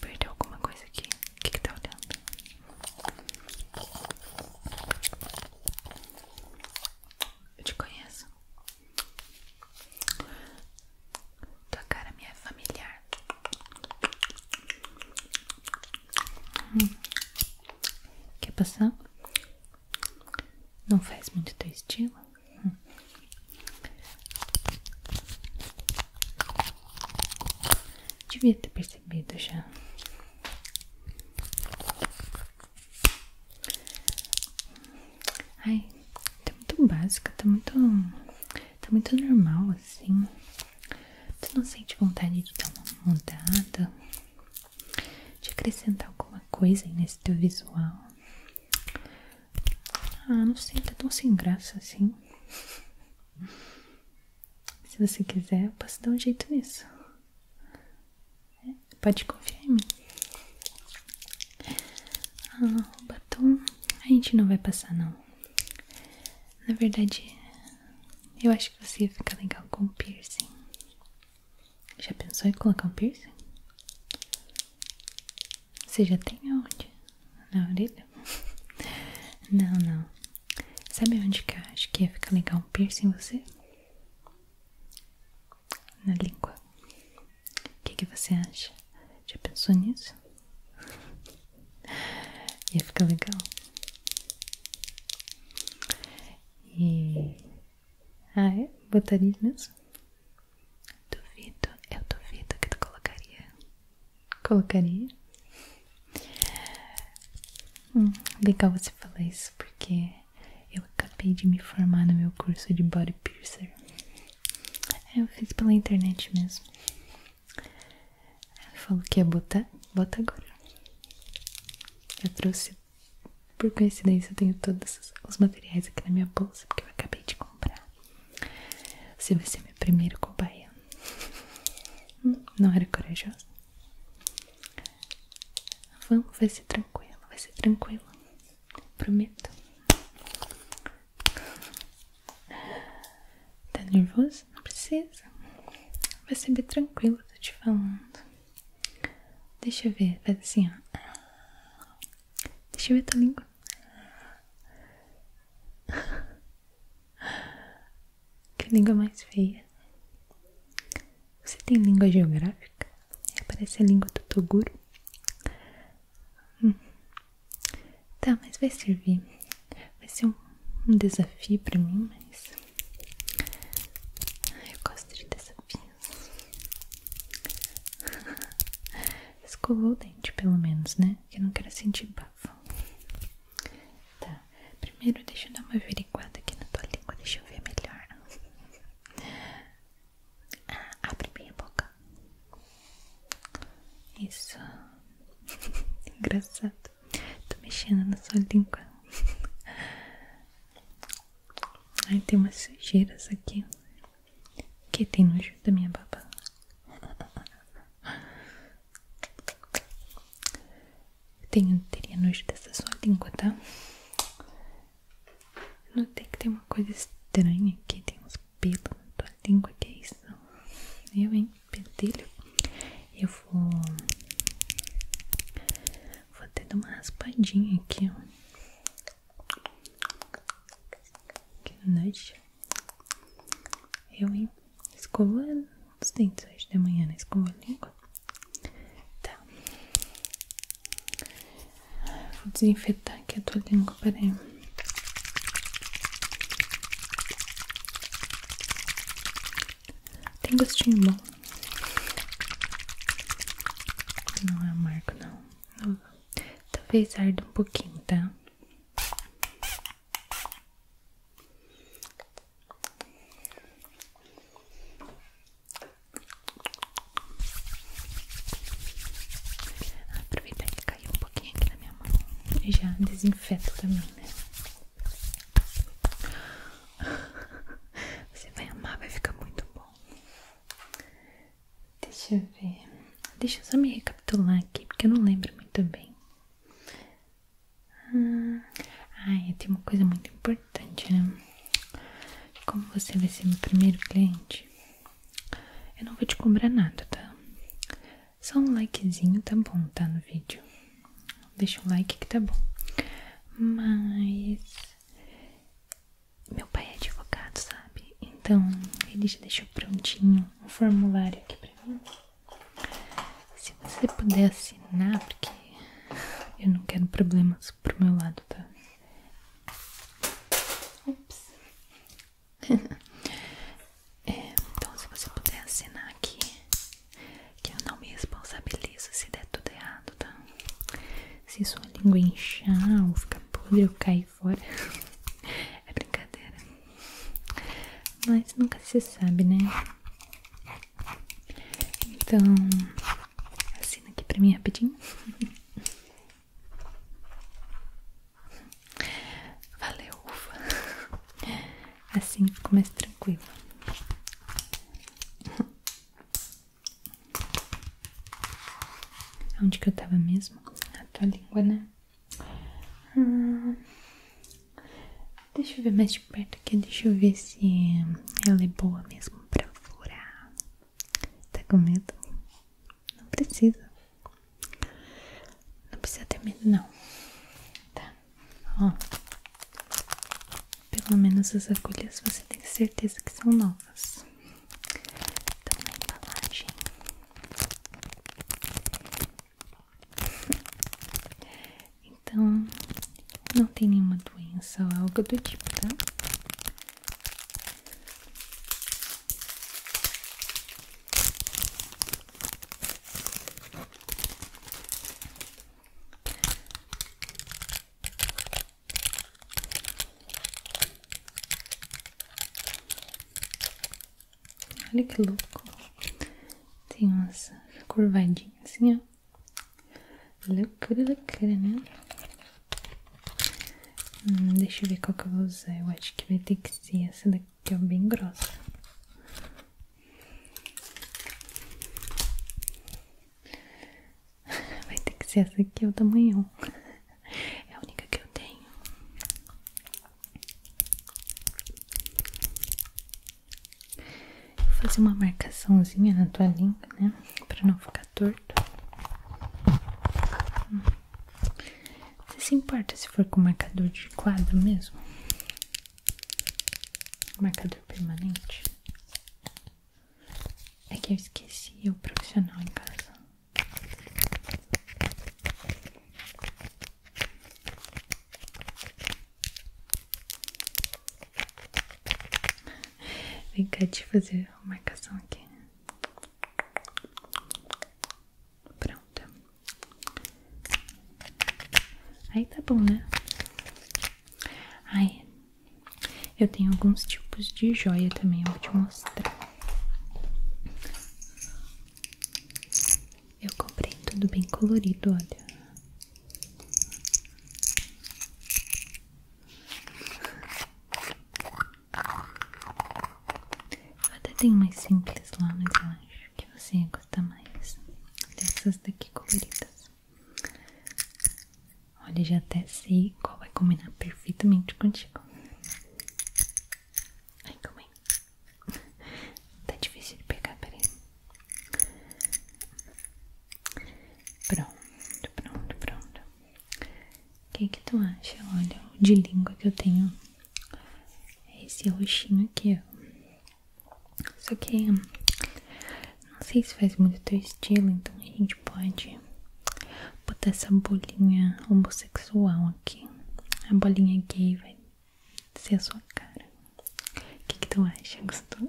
Perdeu alguma coisa aqui? O que, que tá olhando? Eu te conheço. Tua cara me é familiar. Hum. Quer passar? Não faz muito teu estilo? Devia ter percebido já. Ai, tá muito básica, tá muito. tá muito normal assim. Tu não sente vontade de dar uma mudada, de acrescentar alguma coisa nesse teu visual? Ah, não sei, tá tão sem graça assim. Se você quiser, eu posso dar um jeito nisso. É, pode confiar em mim. Ah, o batom a gente não vai passar, não. Na verdade, eu acho que você ia ficar legal com piercing. Já pensou em colocar um piercing? Você já tem onde? Na orelha? Não, não. Sabe onde que eu acho que ia ficar legal um piercing em você? Na língua. O que, que você acha? Já pensou nisso? Ia ficar legal. E. Ah, é? Botaria mesmo? Duvido, eu duvido que tu colocaria. Colocaria? Hum, legal você falar isso, porque eu acabei de me formar no meu curso de Body Piercer. É, eu fiz pela internet mesmo. Ela falou que ia botar, bota agora. Eu trouxe, por coincidência, eu tenho todos os materiais aqui na minha bolsa, porque eu acabei de comprar. Você vai ser meu primeiro cobaia. Não era corajosa? Vamos, vai ser tranquilo, vai ser tranquilo. Prometo. Tá nervoso? Não precisa. Vai ser bem tranquilo, tô te falando. Deixa eu ver, faz assim, ó. Deixa eu ver tua língua. que língua mais feia. Você tem língua geográfica? Parece a língua do Toguro. Hum. Tá, mas vai servir. Vai ser um, um desafio pra mim, mas. Eu gosto de desafio. Escovou o dente, pelo menos, né? Que eu não quero sentir bafo. Tá, primeiro deixa eu dar uma averiguada aqui na tua língua, deixa eu ver melhor. Ah, abre bem a boca. Isso. Engraçado. Tô mexendo na sua língua. Ai, tem umas sujeiras aqui. Que tem nojo da minha babá. Tenho, teria nojo dessa sua língua, tá? Notei que tem uma coisa estranha aqui, tem uns pelos na tua língua, que é isso? Eu, hein? Pentelho. Eu vou... Vou até dar uma raspadinha aqui, ó. Que noite. Eu, escovo os dentes hoje de manhã, né? Escova a língua. Tá. Vou desinfetar aqui a tua língua, peraí. Tem gostinho bom. Não é amargo, não. não. Talvez arde um pouquinho, tá? Aproveitar que caiu um pouquinho aqui na minha mão e já desinfeto também, né? Você vai amar, vai ficar muito bom. Deixa eu ver. Deixa eu só me recapitular aqui, porque eu não lembro muito bem. Hum. ai tem uma coisa muito importante, né? Como você vai ser meu primeiro cliente, eu não vou te cobrar nada, tá? Só um likezinho tá bom, tá? No vídeo. Deixa um like que tá bom. Mas meu pai é advogado, sabe? Então ele já deixou prontinho um formulário aqui pra mim. Se você puder assinar, porque eu não quero problemas pro meu lado, tá? Ups. É, então, se você puder assinar aqui, que eu não me responsabilizo se der tudo errado, tá? Se sua língua inchar fica podre eu caio fora. é brincadeira. Mas nunca se sabe, né? Então, assina aqui pra mim rapidinho. Valeu, Assim começa tranquilo. Onde que eu tava mesmo? A tua língua, né? Hum. deixa eu ver mais de perto aqui. Deixa eu ver se ela é boa mesmo pra furar. Tá com medo? Não precisa. Não precisa ter medo, não. Tá? Ó. Pelo menos as agulhas você tem certeza que são novas. Então na embalagem Então não tem nenhuma doença ou algo do tipo, tá? Olha que louco. Tem uma curvadinhas assim, ó. Loucura, loucura, né? Hum, deixa eu ver qual que eu vou usar. Eu acho que vai ter que ser essa daqui, ó, bem grossa. Vai ter que ser essa aqui, é o tamanho. É a única que eu tenho. Vou fazer uma marcaçãozinha na tua língua, né? Pra não ficar torto. Você se importa se for com marcador de quadro mesmo? Marcador permanente? É que eu esqueci o profissional em casa. Vem cá de fazer a marcação aqui. Pronto. Aí tá bom, né? Aí eu tenho alguns tipos de joia também, eu vou te mostrar. Eu comprei tudo bem colorido, olha. até tem mais simples lá, no eu que você gosta mais dessas daqui coloridas. Olha, já até sei qual vai combinar perfeitamente contigo. Ai, calma aí. Tá difícil de pegar, peraí. Pronto, pronto, pronto. O que tu acha? Olha, de língua que eu tenho é esse roxinho aqui, ó. Só que hum, não sei se faz muito teu estilo, então a gente pode botar essa bolinha homossexual aqui. A bolinha gay vai ser a sua cara. O que, que tu acha? Gostou?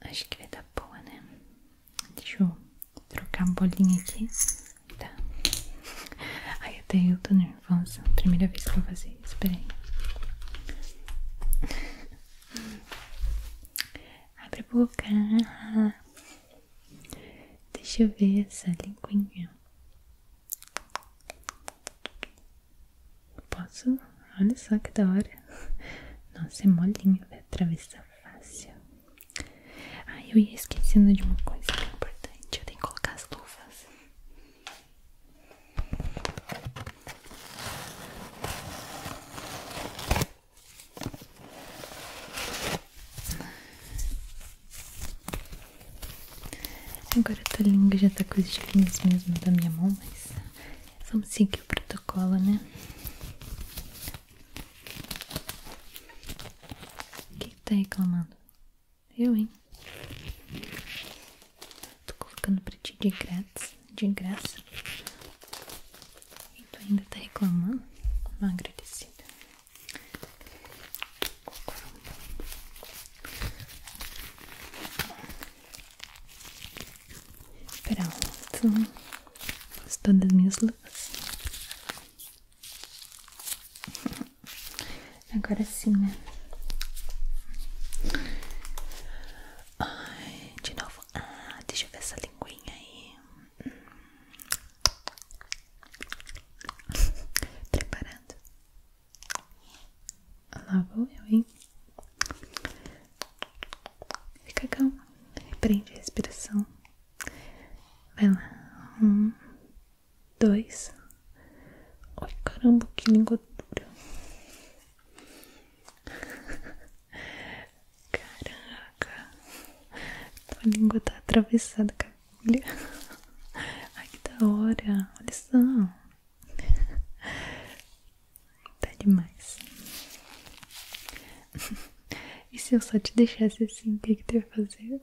Acho que vai dar boa, né? Deixa eu trocar a bolinha aqui. Tá. aí até eu tô nervosa vamos, primeira vez que eu vou fazer Espere, peraí. Abre a boca. Deixa eu ver essa linguinha. Posso? Olha só que da hora. Nossa, é molinho, vai atravessar fácil. Ai, eu ia esquecendo de uma coisa é importante. Eu tenho que colocar as luvas. Agora a tua já tá com os espinhos mesmo da minha mão, mas vamos seguir o protocolo, né? o que tá reclamando? Eu, hein? Tô colocando pra ti de graça de graça. E tu ainda tá reclamando? Não agradecida. Pronto. Gostou das minhas luvas? Agora sim, né? Ai, de novo. Ah, deixa eu ver essa linguinha aí. Hum. Preparando. Ah, lá vou eu, hein? Fica calma. Prende a respiração. Vai lá. Um, dois, Ai caramba, que língua dura. Caraca, tua língua tá atravessada com a agulha. Ai que da hora, olha só. Tá demais. E se eu só te deixasse assim, o que, que tu ia fazer?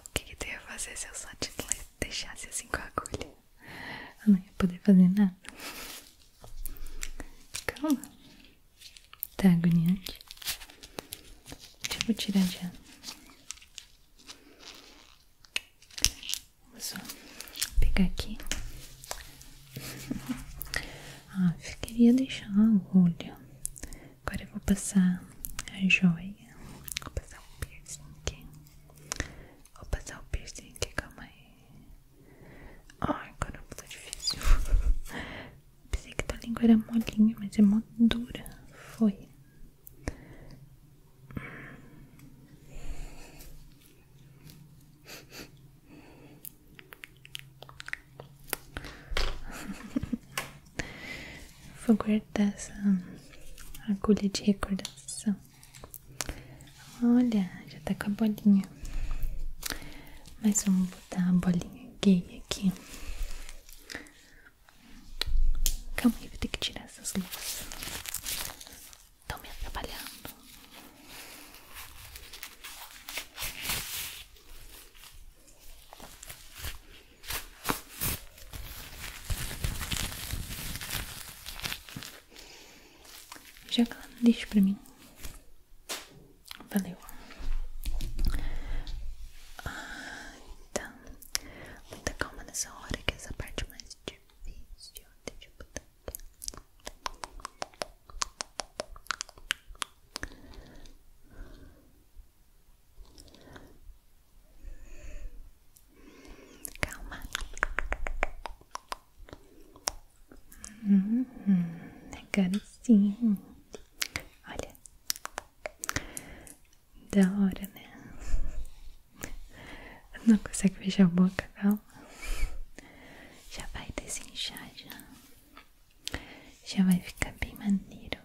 O que, que tu ia fazer se eu só te deixasse assim com a agulha? Eu não ia poder fazer nada. Calma. Tá agoniante. Deixa eu tirar já. Vou só pegar aqui. ah, eu queria deixar a agulha Agora eu vou passar a joia. Vou passar o piercing Vou passar o piercing aqui, calma aí. Ai, agora tá difícil. Pensei que a língua era molinha, mas é mó dura. Foi. Vou guardar essa agulha de recordação. Olha, já tá com a bolinha. Mas vamos botar a bolinha gay aqui. Calma aí, vou ter que tirar essas luvas. Estão me atrapalhando. Joga lá no lixo pra mim. Valeu. Ah, então, muita calma nessa hora que essa parte é mais difícil de botar aqui. Calma. Hum, agora sim. Olha. Da hora, né? Não consegue fechar a boca, calma. Já vai desinchar, já. Já vai ficar bem maneiro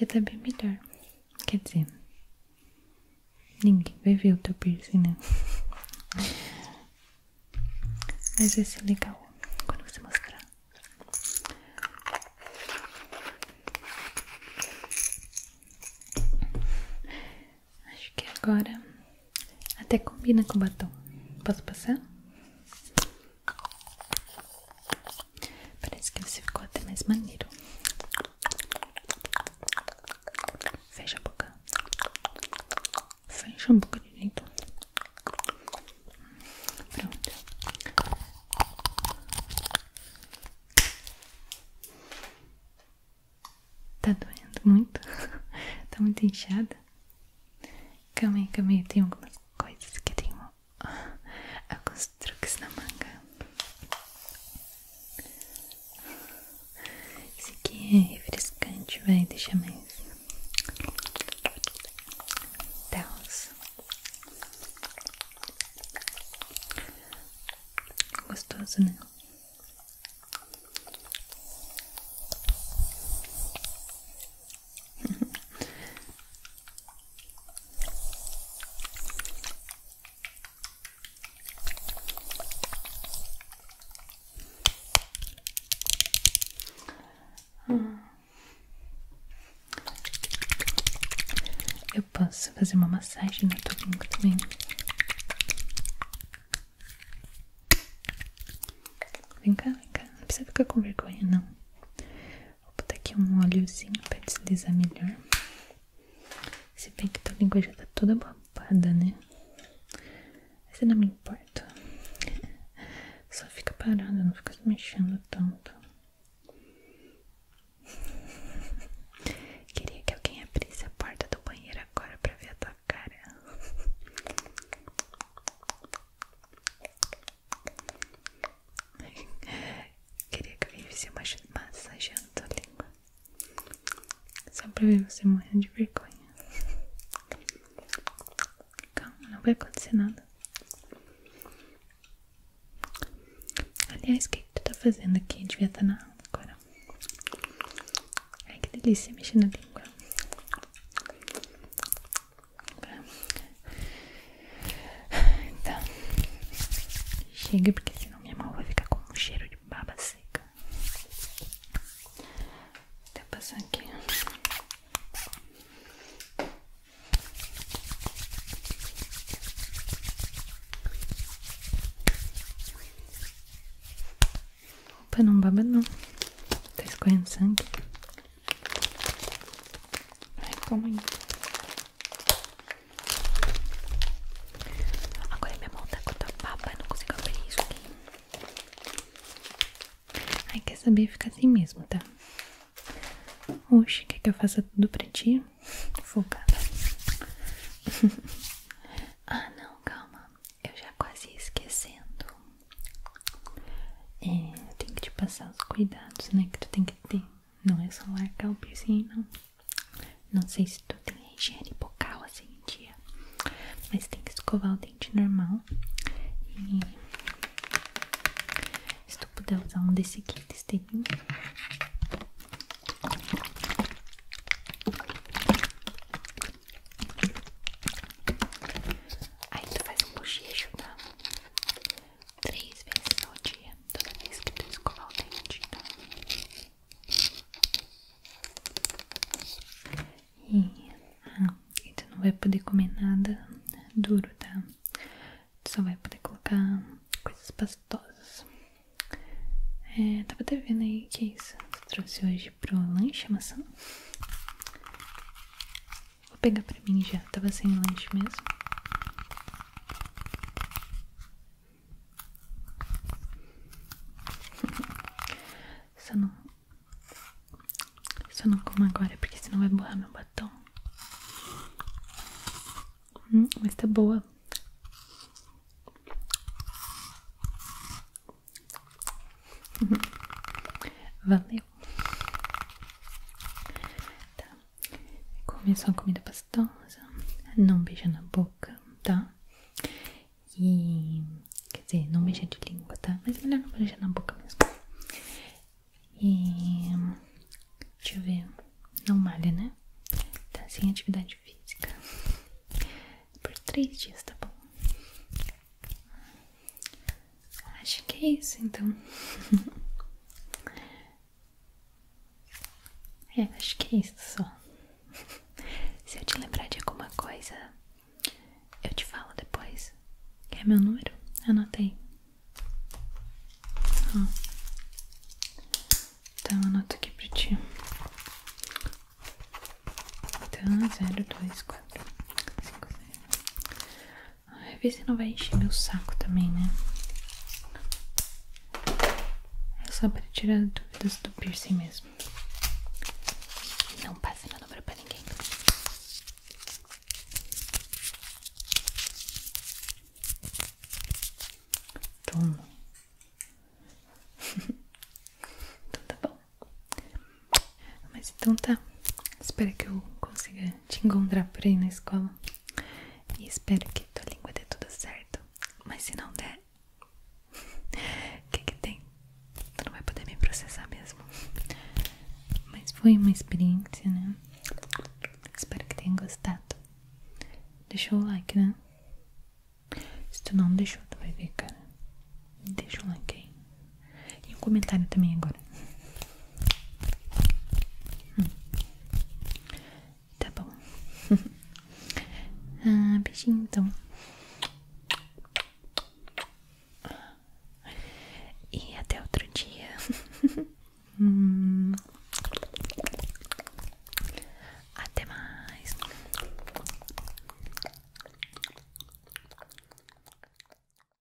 já tá bem melhor. Quer dizer, ninguém vai ver o teu piercing, né? Mas vai ser legal quando você mostrar. Acho que agora até combina com batom. Posso passar? Parece que você ficou até mais maneiro. Fecha a boca. Fecha a boca direito. Pronto. Tá doendo muito? tá muito inchada? Calma aí, calma aí. Tem algumas coisas que tem uma alguns truques na manga. Esse aqui é refrescante, vai deixar mais Deus. Gostoso, né? Eu posso fazer uma massagem no tubinho também. Vem cá, vem cá. Não precisa ficar com vergonha, não. Vou botar aqui um óleozinho pra deslizar melhor. Se bem que tua língua já tá toda babada, né? Mas eu não me importa. Só fica parada, não fica se mexendo tanto. Queria que alguém abrisse a porta do banheiro agora pra ver a tua cara. Queria que eu vivesse massageando tua língua Só pra ver você morrendo de vergonha Calma, não vai acontecer nada Aliás, o que, tu tá fazendo aqui? Devia estar tá na aula agora Ai que delícia mexendo a língua então, chega porque senão minha mão vai ficar com um cheiro de baba seca. Vou até tá passar aqui. Opa, não baba não. Tá escorrendo sangue. Ai, calma aí. Agora minha mão tá com a papa, eu não consigo abrir isso aqui. Ai, quer saber? Fica assim mesmo, tá? Oxe, quer que eu faça tudo pra ti? Focada. ah, não, calma. Eu já quase esquecendo. É, tenho que te passar os cuidados, né? Que tu tem que ter. Não é só largar o piercing, não. Não sei se tu tem higiene bucal assim em dia. Mas tem que escovar o dente normal. E se tu puder usar um desse aqui, testeirinho. Aí tu faz um bochecho, tá? três vezes ao dia, toda vez que tu escovar o dente, tá? E, ah, tu não vai poder comer nada né, duro, tá? Tu só vai poder colocar coisas pastosas. É, tava até vendo aí que é isso. Tu trouxe hoje pro lanche a maçã? Vou pegar pra mim já, tava sem lanche mesmo. Só não. Só não como agora, porque senão vai borrar meu batom. Hum, mas tá boa. Valeu. Tá? Comer só comida pastosa, não beijar na boca, tá? E. Quer dizer, não beijar de língua, tá? Mas é melhor não beijar na boca mesmo. E. Deixa eu ver. Não malha, né? Tá sem atividade física. Por três dias, tá bom? Acho que é isso então. é, acho que é isso só. Se eu te lembrar de alguma coisa, eu te falo depois. Quer meu número? Anotei. Ó. Então anoto aqui pra ti. Então, 0, 2, Ai, vê se não vai encher meu saco também, né? É só pra tirar dúvidas do piercing mesmo. Não passe meu número pra ninguém. Toma. Tudo então tá bom. Mas então tá. Espero que eu consiga te encontrar por aí na escola. E espero que tua língua dê tudo certo. Mas se não der, o que que tem? Tu não vai poder me processar mesmo. Mas foi uma experiência, né? Espero que tenha gostado. Deixa o like, né? Se tu não deixou, tu vai ver, cara. Deixa o like aí. E um comentário também agora. Hum. Tá bom. ah, beijinho então. E até outro dia. Hum. Até mais.